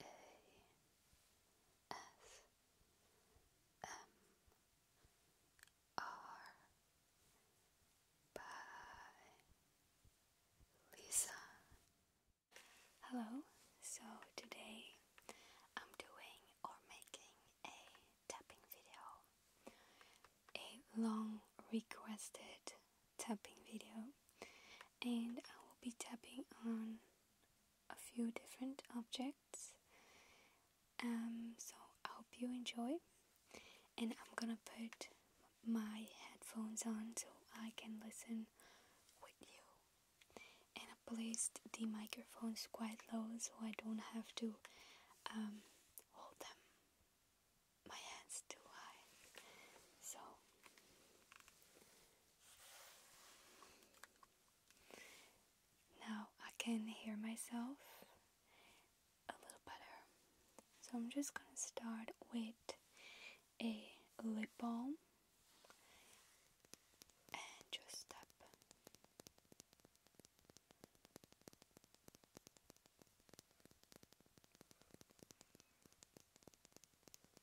by Lisa. Hello, so today I'm doing or making a tapping video. A long requested tapping video and I will be tapping on a few different objects um, so I hope you enjoy and I'm gonna put my headphones on so I can listen with you and I placed the microphones quite low so I don't have to um, hold them my hands too high so now I can hear myself a little better. So I'm just gonna start with a lip balm and just tap.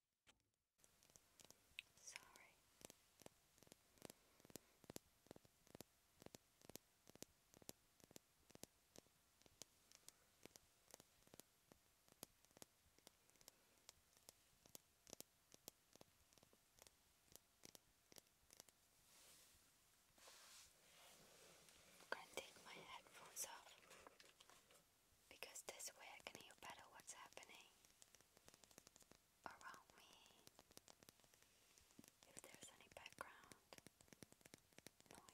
Sorry. I'm gonna take my headphones off because this way I can hear better what's happening around me. If there's any background noise or not.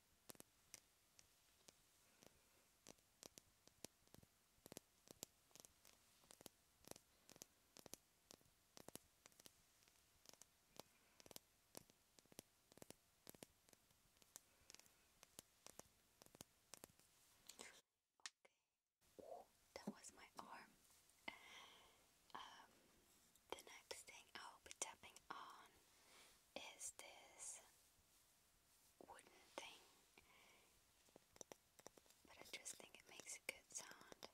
Oh, that was my arm. Um, the next thing I'll be tapping on is this wooden thing, but I just think it makes a good sound for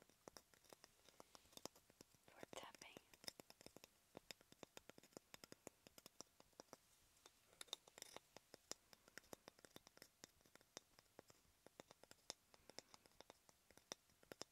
tapping.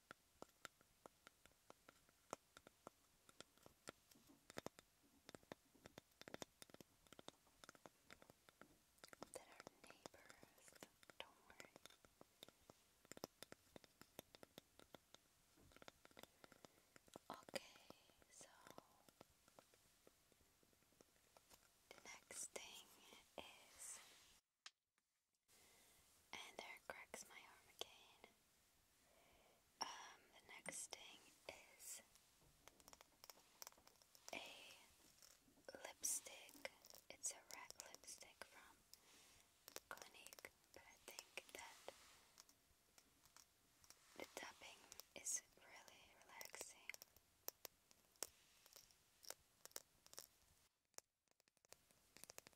That are neighbors, don't worry. Okay, so the next thing is and there cracks my arm again. Um, the next thing is a lipstick. It's a red lipstick from Clinique, but I think that the tapping is really relaxing and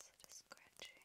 also the scratching.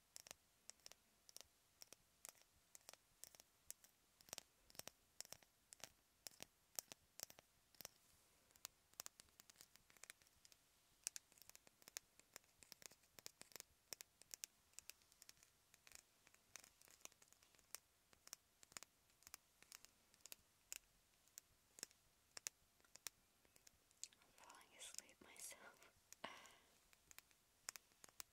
I'm falling asleep myself.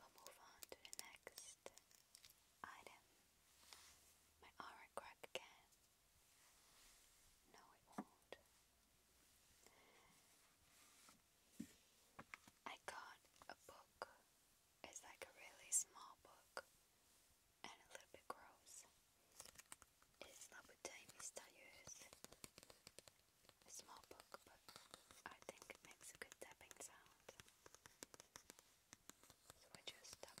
We'll move on to the next item. My aura crack again. No, it won't. I got a book it's like a really small book and a little bit gross. It's not with tiny styles. A small book, but I think it makes a good tapping sound. So I just tap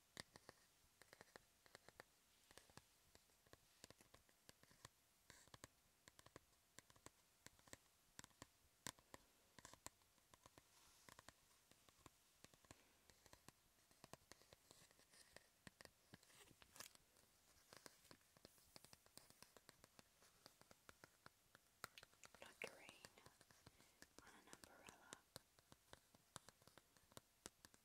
Fluttering on an umbrella.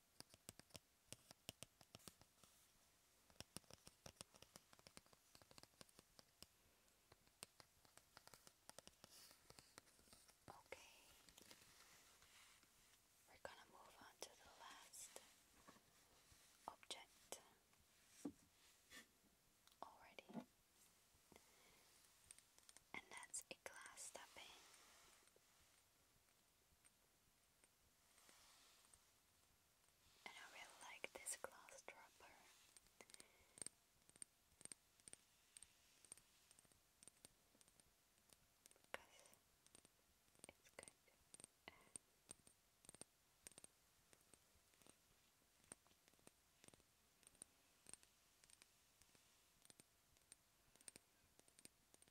Okay, we're going to move on to the last object already, and that's a glass tapping. And I really like this glass dropper. Because it's good.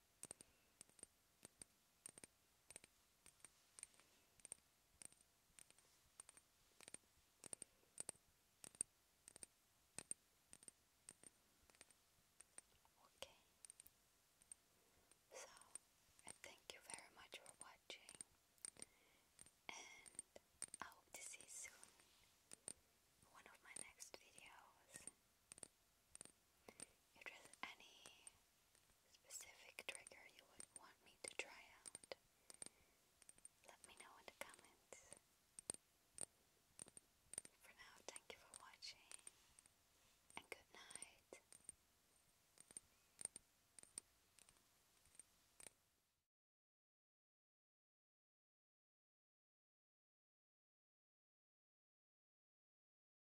Okay. So, thank you very much for watching, and I hope to see soon one of my next videos. If there's any specific trigger you would want me to try out, let me know in the comments. For now, thank you for watching and good night.